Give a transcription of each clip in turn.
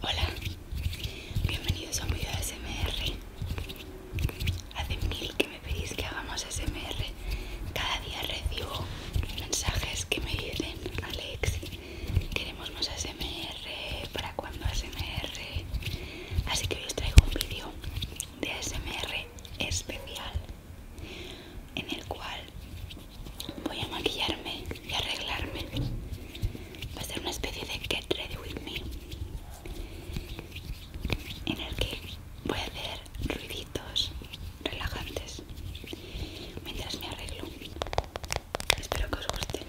Hola, bienvenidos a un video de SMR. Hace mil que me pedís que hagamos SMR. Cada día recibo mensajes que me dicen, Alex, queremos más SMR, ¿para cuándo SMR? Así que hoy os traigo un vídeo de asmr especial en el cual voy a maquillarme y arreglarme. Va a ser una especie de Get Ready With Me en el que voy a hacer ruiditos relajantes mientras me arreglo. Espero que os guste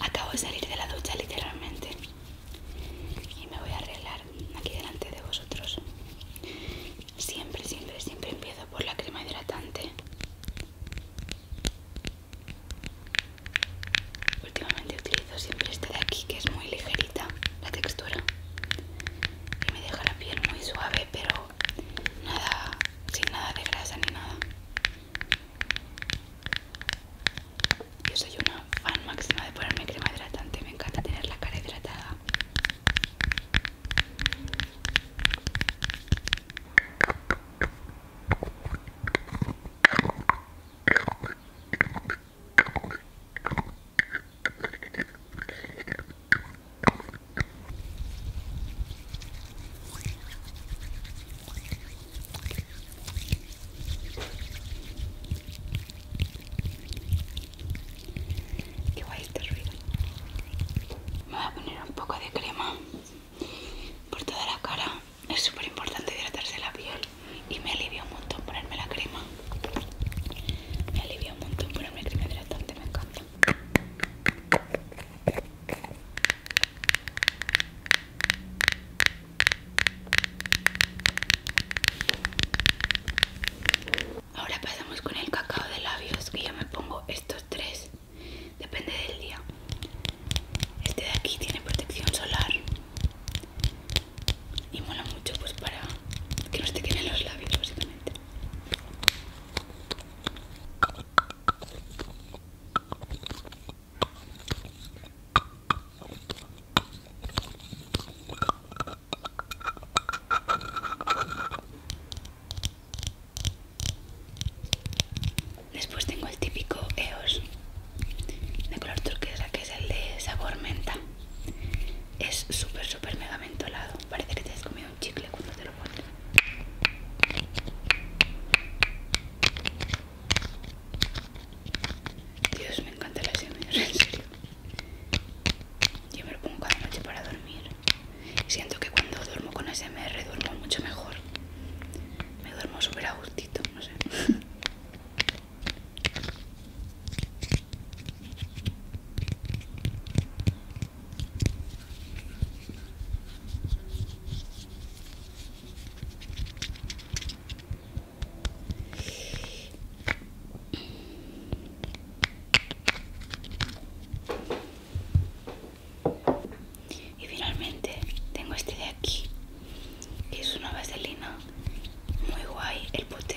Acabo de salir de la ducha literalmente y me voy a arreglar aquí delante de vosotros. Siempre, siempre, siempre empiezo por la crema hidratante. Últimamente utilizo siempre esta de aquí que es muy ligerita la textura y me deja la piel muy suave pero nada, sin nada de grasa ni nada. Yo soy una fan máxima de ponerme crema hidratante, me encanta tener la cara hidratada va este ruido. Me voy a poner un poco de crema por toda la cara. Es súper importante hidratarse la piel y me alivia un montón ponerme la crema. Me alivia un montón ponerme crema hidratante, me encanta. Ahora pasamos con el cacao de labios, que yo me pongo estos tres, depende del día. Este de aquí tiene protección solar y mola mucho pues para que no se te queden los labios básicamente. Después tengo el típico EOS de color turquesa que es el de sabor menta. Es súper, súper mega mentolado. Parece que te has comido un chicle cuando te lo pones. Dios, me encanta la ASMR, en serio. Yo me lo pongo cada noche para dormir. Siento que cuando duermo con ASMR duermo mucho mejor. Me duermo súper a no sé. Y finalmente tengo este de aquí, que es una vaselina muy guay, el pote,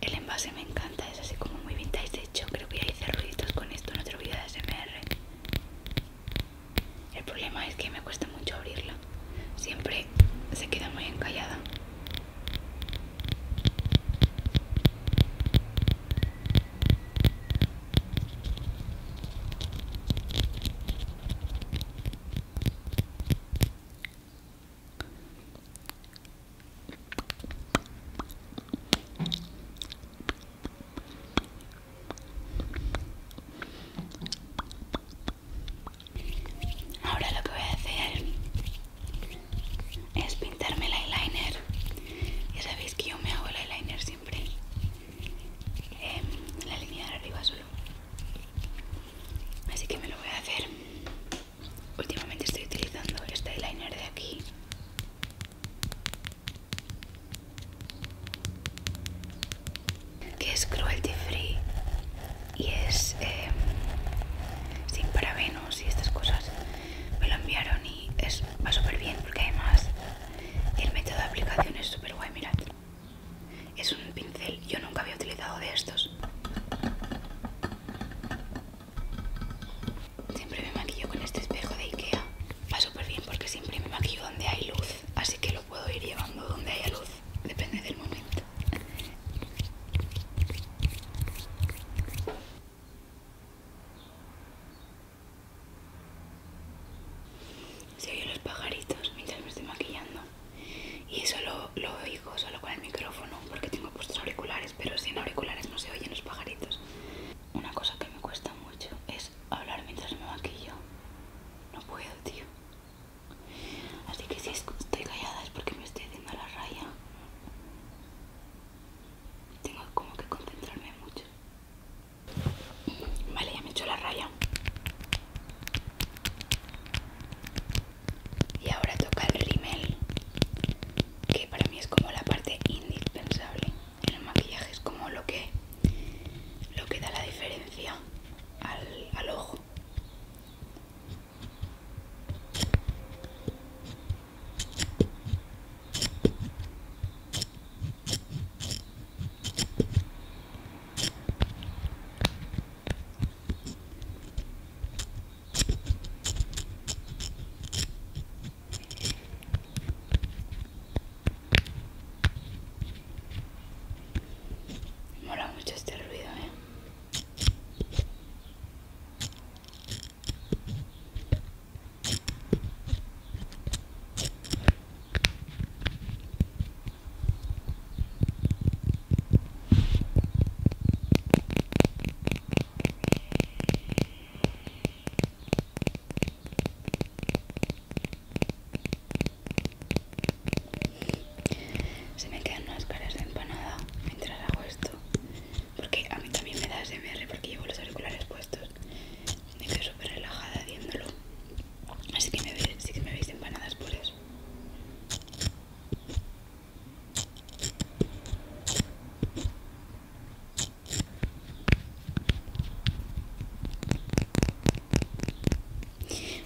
el envase me encanta, es así como muy vintage, de hecho creo que a hice ruiditos con esto en otro vídeo de SMR. El problema es que me cuesta mucho abrirla. Siempre se queda muy encallada. Ahora lo que voy a hacer es pintarme el eyeliner. Ya sabéis que yo me hago el eyeliner siempre em, en la línea de arriba solo. Así que me lo voy a hacer. Últimamente estoy utilizando este eyeliner de aquí que es cruelty free y es em, sin parabenos y estas cosas me lo enviaron y es, va súper bien porque además el método de aplicación es súper guay mirad es un pincel yo nunca había utilizado de estos Siempre me maquillo con este espejo de Ikea. Va súper bien porque siempre me maquillo donde hay luz, así que lo puedo ir llevando donde haya luz. Depende del momento. Se oyen los pajaritos mientras me estoy maquillando. Y eso lo, lo oigo solo con el micrófono porque tengo puestos auriculares, pero sin auriculares no se oyen los pajaritos una cosa que me cuesta mucho es hablar mientras me maquillo. No puedo, tío. Así que si estoy callada es porque me estoy haciendo la raya. Tengo como que concentrarme mucho. Vale, ya me he hecho la raya. Y ahora toca el rímel, que para mí es como la parte indispensable el maquillaje es como lo que lo que da la diferencia al, al ojo Mola mucho este ruido, ¿eh? Se me quedan unas caras de empanada mientras hago esto. Porque a mí también me da SMR porque llevo los auriculares puestos. Me quedo súper relajada haciéndolo. Así que que me veis empanadas por eso.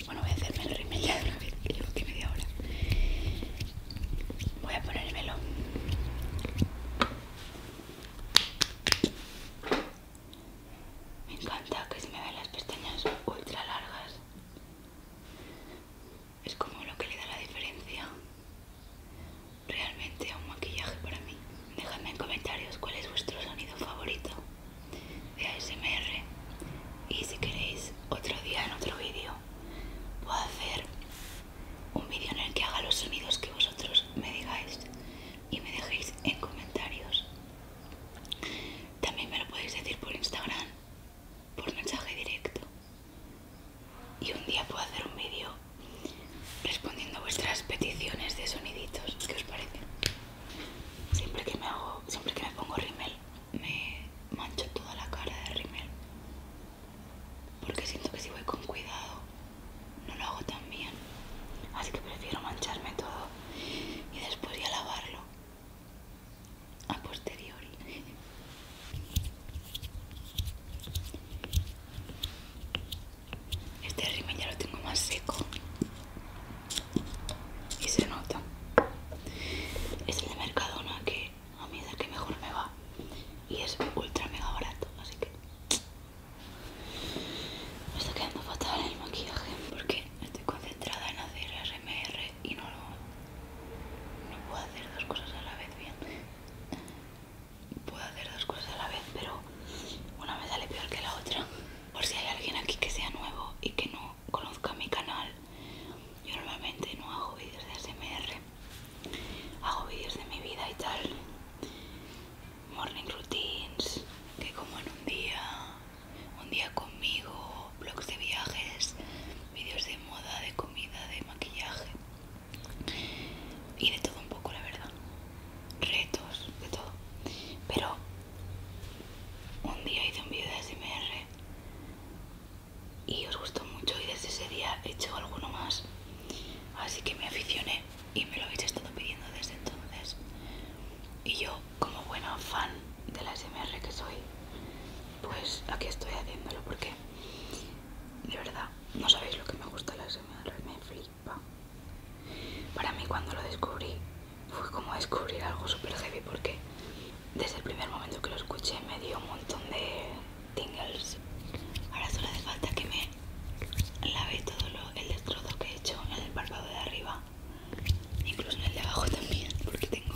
Bueno, voy a hacerme el rímel de una vez, que llevo aquí media hora. Voy a ponérmelo. Me encanta que se me vean las pestañas ultra largas. Es como lo que le da la diferencia realmente un maquillaje para mí. Dejadme en comentarios cuál es vuestro sonido favorito de ASMR y si queréis otro día en otro vídeo puedo hacer un vídeo en el que haga los sonidos que vosotros me digáis y me dejéis en comentarios. También me lo podéis decir por Instagram, por mensaje directo. Y un día puedo hacer un vídeo respondiendo a vuestras peticiones de soniditos. ¿Qué os parece? Siempre que me hago, siempre que me pongo rimel, me mancho toda la cara de rimel. Porque siento que si voy con cuidado, no lo hago tan bien. Así que prefiero mancharme todo y después ya lavarlo. A posteriori. Este rímel ya lo tengo más seco y se nota. Es el de Mercadona que a mí es el que mejor me va y es ultra mega barato, así que me está quedando fatal el maquillaje porque estoy concentrada en hacer RMR y no lo no puedo hacer dos cosas a la vez bien puedo hacer dos cosas a la vez, pero una me sale peor que la otra. Por si hay alguien aquí que sea nuevo y que no conozca mi canal, yo normalmente no hago vídeos de ASMR, hago vídeos de mi vida y tal, morning routines, que como en un día, un día conmigo, blogs de viajes, vídeos de moda, de comida, de maquillaje y de todo un poco, la verdad. Retos, de todo. Pero un día hice un vídeo de ASMR y os gustó mucho y desde ese día he hecho alguno más. Así que me aficioné y me lo habéis estado pidiendo desde entonces. Y yo, como buena fan de la SMR que soy, pues aquí estoy haciéndolo porque de verdad, no sabéis lo que me gusta la semana, me flipa. Para mí cuando lo descubrí fue como descubrir algo súper heavy porque desde el primer momento que lo escuché me dio un montón de tingles. Ahora solo hace falta que me lave todo el destrozo que he hecho en el párpado de arriba, incluso en el de abajo también, porque tengo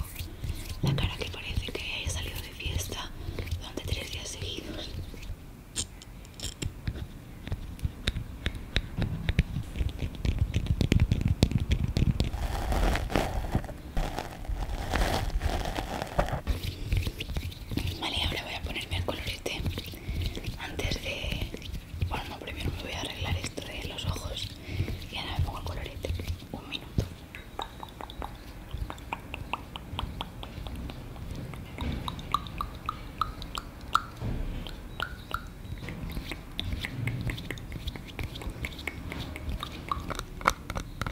la cara que parece que haya salido fiesta durante tres días seguidos. Vale, ahora voy a ponerme el colorete antes de... Bueno, primero me voy a arreglar esto de los ojos y ahora me pongo el colorete. Un minuto.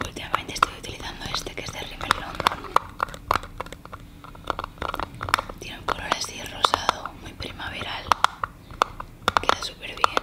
Últimamente estoy utilizando este que es de Rimmel London. Tiene un color así rosado, muy primaveral. Queda súper bien.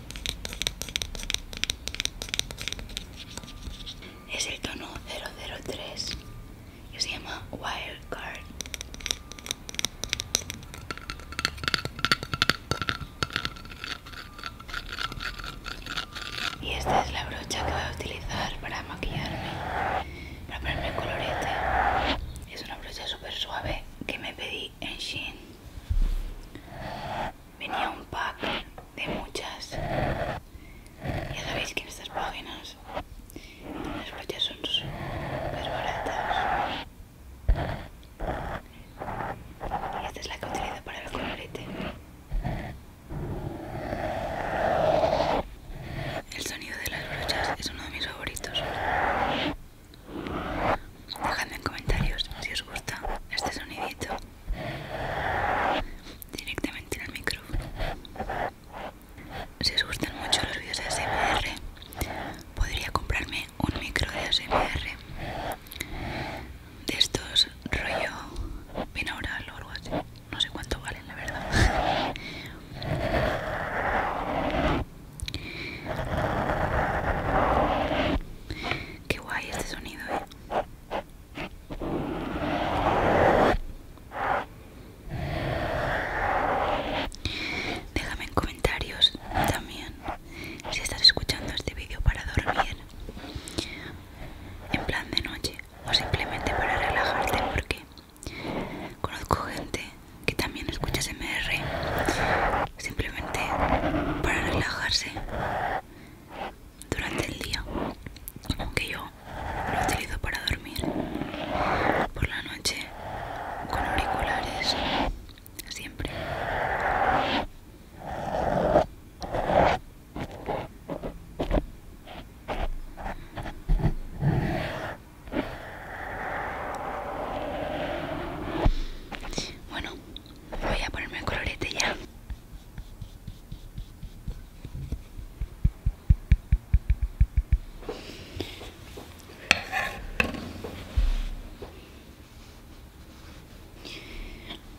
Es el tono 003 y se llama Wirecard Y esta es la brocha que voy a utilizar para maquillarme, para ponerme colorete. Es una brocha super suave que me pedí en Shein. Venía un pack de muchas. Ya sabéis que en estas páginas las brochas son súper baratas. Y esta es la que utilizo para el colorete. El sonido de las brochas es uno de mis favoritos. Dejadme en comentarios si os gusta este sonidito directamente en el micrófono. Si os gustan mucho los vídeos de ASMR, podría comprarme un micro de ASMR de estos rollo binaural o algo así. No sé cuánto valen, la verdad. Qué guay este sonido, eh. Déjame en comentarios también si estás escuchando este vídeo para dormir, en plan de noche o simplemente para relajarte porque conozco gente que también escucha SMR simplemente para relajarse durante el día, aunque yo lo utilizo para dormir. Por la noche, con auriculares, siempre. Bueno, Voy a ponerme el colorete ya.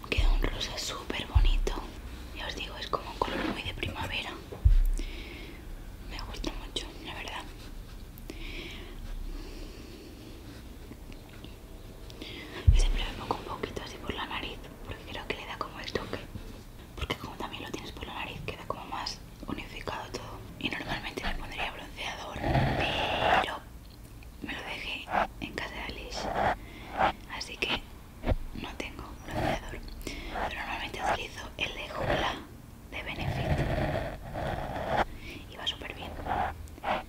Queda un rosa súper bonito. Ya os digo, es como un color muy de primavera. Me gusta mucho, la verdad y siempre me pongo un poquito así por la nariz porque creo que le da como el toque. Porque como también lo tienes por la nariz queda como más unificado todo. Y normalmente le pondría bronceador, pero me lo dejé en casa de Alice. Así que no tengo bronceador. Pero normalmente utilizo el de Jula de Benefit. Y va súper bien.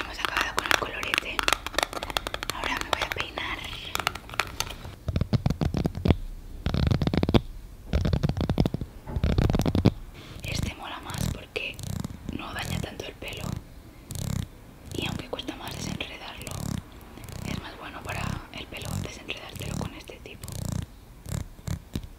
Hemos acabado con el colorete. Ahora me voy a peinar. Este mola más porque no daña tanto el pelo y aunque cuesta más desenredarlo, es más bueno para el pelo desenredártelo con este tipo.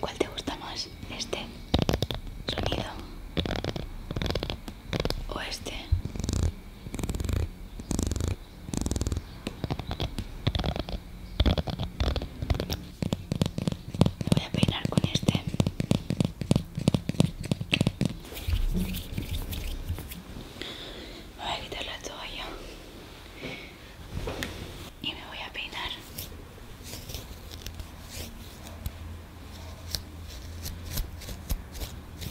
¿Cuál te gusta más? ¿Este sonido? ¿O este? Me voy a peinar con este. voy a quitar la toalla y me voy a peinar.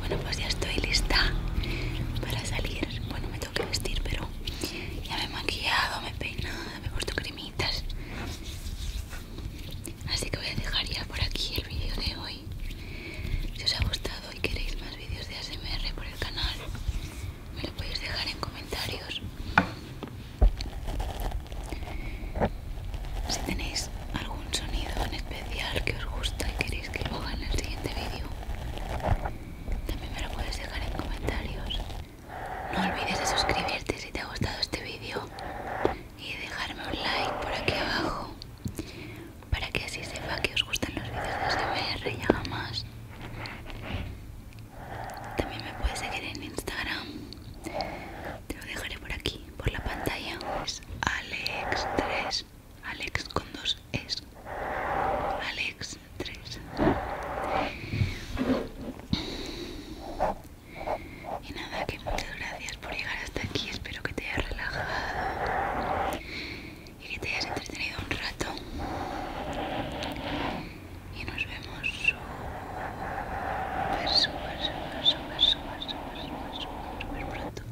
Bueno, pues ya estoy lista para salir. Bueno, me tengo que vestir, pero ya me he maquillado, me he peinado, me he puesto cremitas. Así que voy a dejar ya por aquí el vídeo de hoy. Si os ha gustado y queréis más vídeos de ASMR por el canal, me lo podéis dejar en comentarios. Si tenéis algún sonido en especial que os gusta y queréis que lo haga en el siguiente vídeo, también me lo puedes dejar en comentarios. No olvides de suscribirte si te ha gustado este vídeo y dejarme un like por aquí abajo para que así sepa que os gustan los vídeos de SMR y jamás. más. También me puedes seguir en Instagram te lo dejaré por aquí, por la pantalla. Es Alex 3. Alex con dos es. Alex 3. Y nada, que muchas gracias por llegar hasta aquí. Espero que te hayas relajado y que te hayas entretenido un rato y nos vemos súper, súper, súper, súper, súper, súper, súper, pronto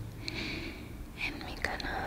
en mi canal.